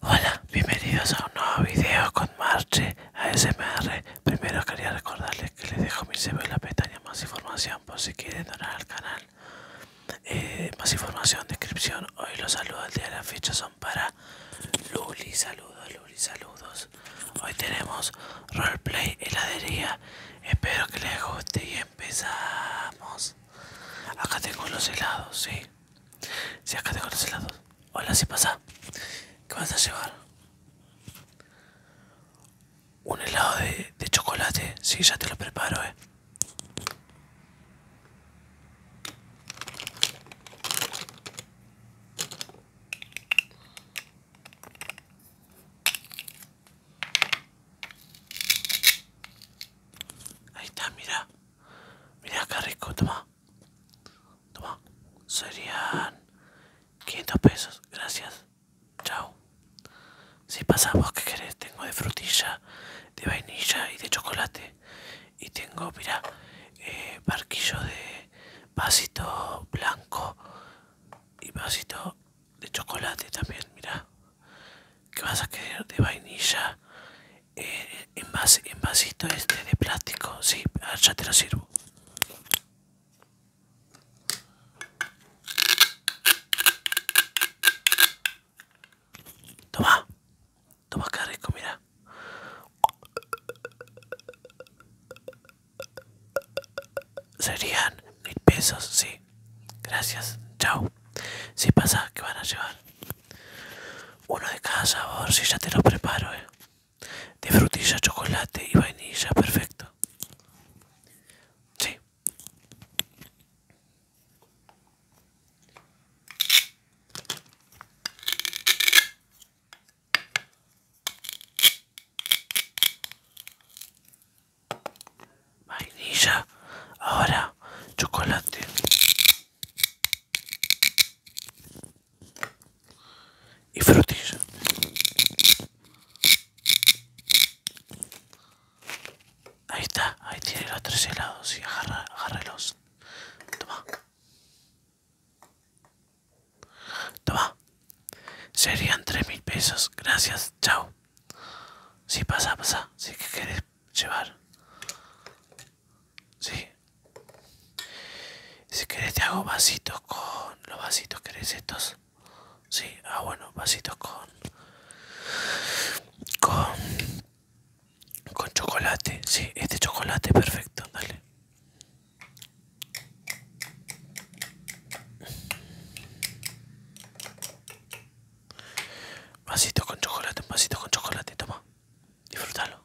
Hola, bienvenidos a un nuevo video con Marche ASMR. Primero quería recordarles que les dejo mi CV en la pestaña más información por si quieren donar al canal. Eh, más información, descripción. Hoy los saludos del día de la fecha son para Luli. Saludos, Luli, saludos. Hoy tenemos roleplay heladería. Espero que les guste y empezamos. Acá tengo los helados, sí. Si acá tengo los helados. Hola, si pasa. ¿Qué vas a llevar? Un helado de, chocolate. Sí, ya te lo preparo, eh. Ahí está, mira. Mira qué rico, toma. Toma. Serían 500 pesos. Gracias. Chao. Si pasamos, que querés? Tengo de frutilla, de vainilla y de chocolate. Y tengo, mira, eh, barquillo de vasito blanco y vasito de chocolate también, mira. ¿Qué vas a querer de vainilla eh, en, vasito este de plástico sí ah, ya te lo sirvo toma toma que mira serían mil pesos sí gracias, chao. Si pasa, que van a llevar? Uno de cada sabor, si ya te lo preparo, eh. De frutilla, chocolate y vainilla, perfecto. Sí vainilla, ahora chocolate. Y frutilla. Ahí está, ahí tiene los tres helados y agarra, los Toma. Toma. Serían tres mil pesos. Gracias, chao si pasa, pasa. si que querés llevar. Sí. Si querés te hago vasitos con... Los vasitos, ¿querés estos? Sí, ah bueno, vasitos con... Con... Con chocolate. Sí, este chocolate, perfecto, dale. Vasito con chocolate, un vasito con chocolate, toma. Disfrútalo.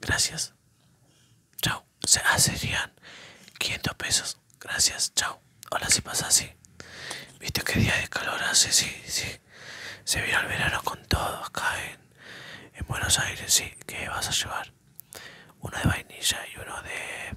Gracias. Chao. Se ah, serían 500 pesos. Gracias, chao. hola si pasa así. Viste que día de calor hace, sí, sí. Se viene el verano con todo acá en, Buenos Aires, sí. que vas a llevar? Uno de vainilla y uno de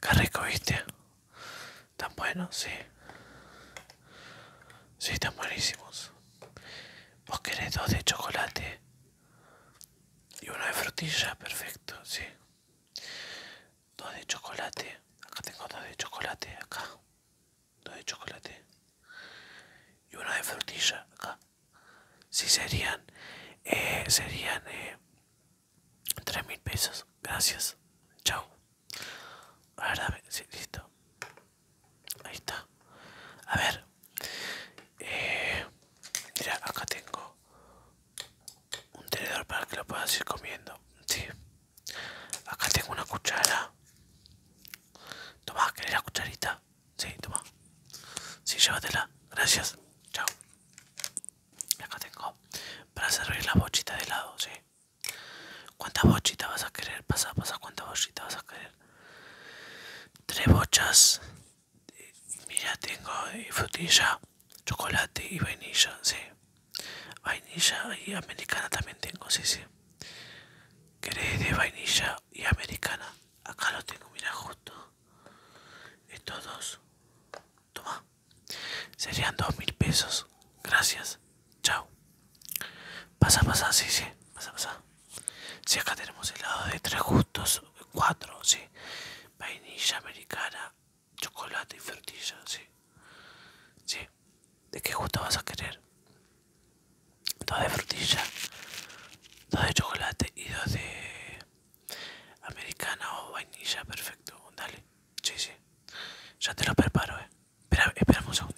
Qué rico, viste. Tan bueno, sí. Sí, están buenísimos. Vos querés dos de chocolate y una de frutilla, perfecto, sí. Dos de chocolate, acá tengo dos de chocolate, acá. Dos de chocolate. Y una de frutilla, acá si serían eh, serían eh, tres mil pesos gracias chao a ver, sí, listo ahí está a ver eh, mira acá tengo un tenedor para que lo puedas ir comiendo sí acá tengo una cuchara toma querés la cucharita sí toma sí llévatela gracias chao Acá tengo para servir la bochita de helado, ¿sí? ¿Cuántas bochitas vas a querer? Pasa, pasa, ¿cuántas bochitas vas a querer? Tres bochas. Mira, tengo eh, frutilla, chocolate y vainilla, sí. Vainilla y americana también tengo, sí, sí. ¿Querés de vainilla y americana? Acá lo tengo, mira, justo. Estos dos. Toma. Serían dos mil pesos. Gracias. Chao. Pasa, pasa, sí, sí. Pasa, pasa. Si acá tenemos helado de tres gustos. Cuatro, sí. Vainilla americana, chocolate y frutilla, sí. Sí. ¿De qué gusto vas a querer? Dos de frutilla, dos de chocolate y dos de Americana o vainilla, perfecto. Dale, sí, sí. Ya te lo preparo, eh. Espera, espera un segundo.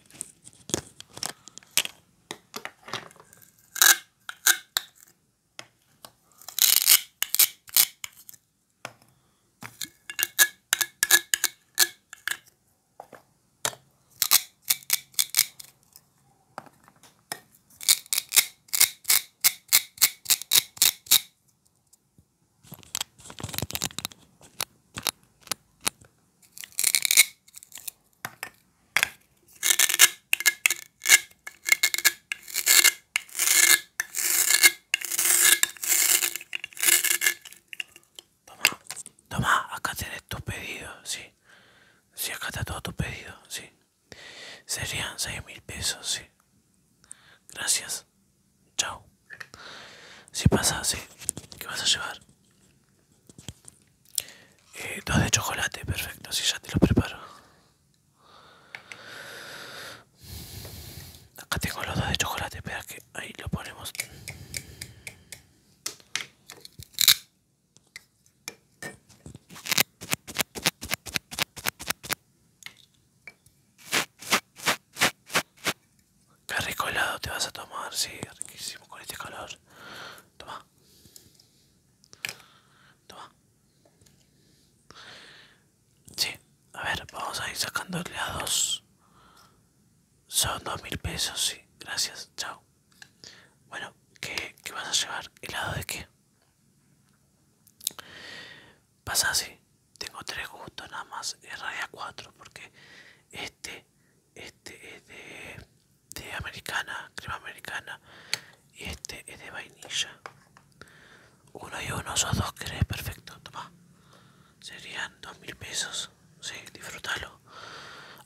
Toma, toma, acá tenés tu pedido, sí. Sí, acá está todo tu pedido, sí. Serían seis mil pesos, sí. Gracias. Chao. Si pasa, sí. ¿Qué vas a llevar? Eh, dos de chocolate, perfecto. Si ya te lo preparo. Acá tengo los dos de chocolate. Espera que ahí lo ponemos. Qué rico helado te vas a tomar, sí, riquísimo con este calor. Toma. Toma. Sí, a ver, vamos a ir sacando helados. Son dos mil pesos, sí. Gracias, chao. Bueno, ¿qué, vas a llevar? ¿Helado de qué? Pasa así, tengo tres gustos nada más, en raya cuatro, porque este, este es de, americana, crema americana, y este es de vainilla. Uno y uno, esos dos querés, perfecto, toma. Serían dos mil pesos, sí, disfrútalo.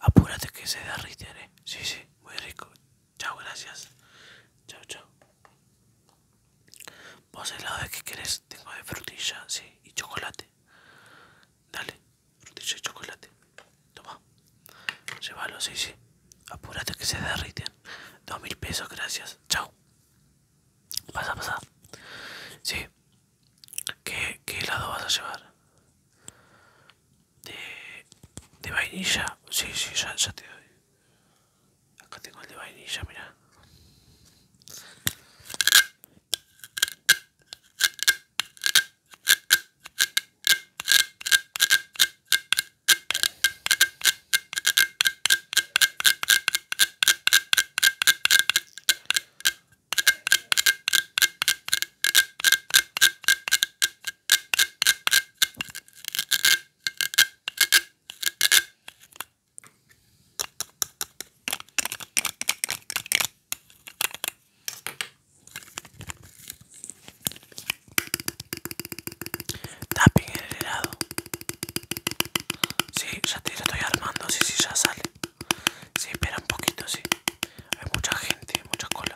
Apúrate que se derrite, eh, sí, sí muy rico. Chao, gracias. Chao, chao. Vos helado de qué querés? Tengo de frutilla, sí, y chocolate. Dale, frutilla y chocolate. Toma. Llévalo, sí, sí. Apúrate que se derriten. Dos mil pesos, gracias. Chao. Pasa, pasa. Sí. ¿Qué, ¿Qué helado vas a llevar? de, vainilla. Sí, sí, salsa te doy. Acá tengo el de vainilla, mira en el helado. Sí, ya, te, ya estoy armando. Sí, sí, ya sale. Sí, espera un poquito, sí. Hay mucha gente, mucha cola.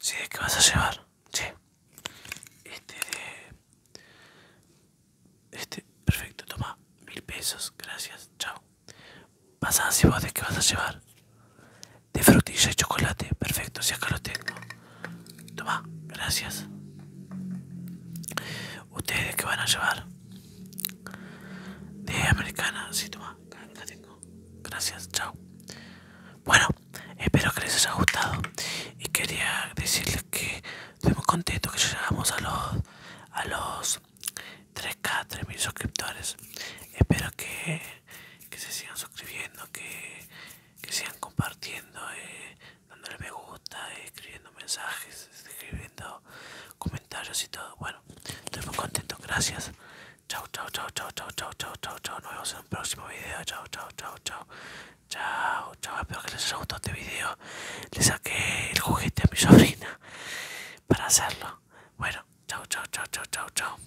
Sí, ¿qué vas a llevar? Sí. Este de... Este, perfecto, toma. Mil pesos, gracias, chao. Pasada si vos de qué vas a llevar de frutilla y chocolate. Perfecto, si acá lo tengo. Toma, gracias. ¿Ustedes que van a llevar? De americana, si toma, la tengo. Gracias, chao. Bueno, espero que les haya gustado y quería decirles que estoy muy contento que llegamos a los a los 3K, 3.000 suscriptores. Espero que, que se sigan suscribiendo, que que sigan compartiendo, dándole me gusta, escribiendo mensajes, escribiendo comentarios y todo. Bueno, estoy muy contento, gracias. Chao, chao, chao, chao, chao, chao, chao, chao, chao. Nos vemos en un próximo video. Chao, chao, chao, chao. Chao, chao, espero que les haya gustado este video. Le saqué el juguete a mi sobrina para hacerlo. Bueno, chao, chao, chao, chao, chao, chao.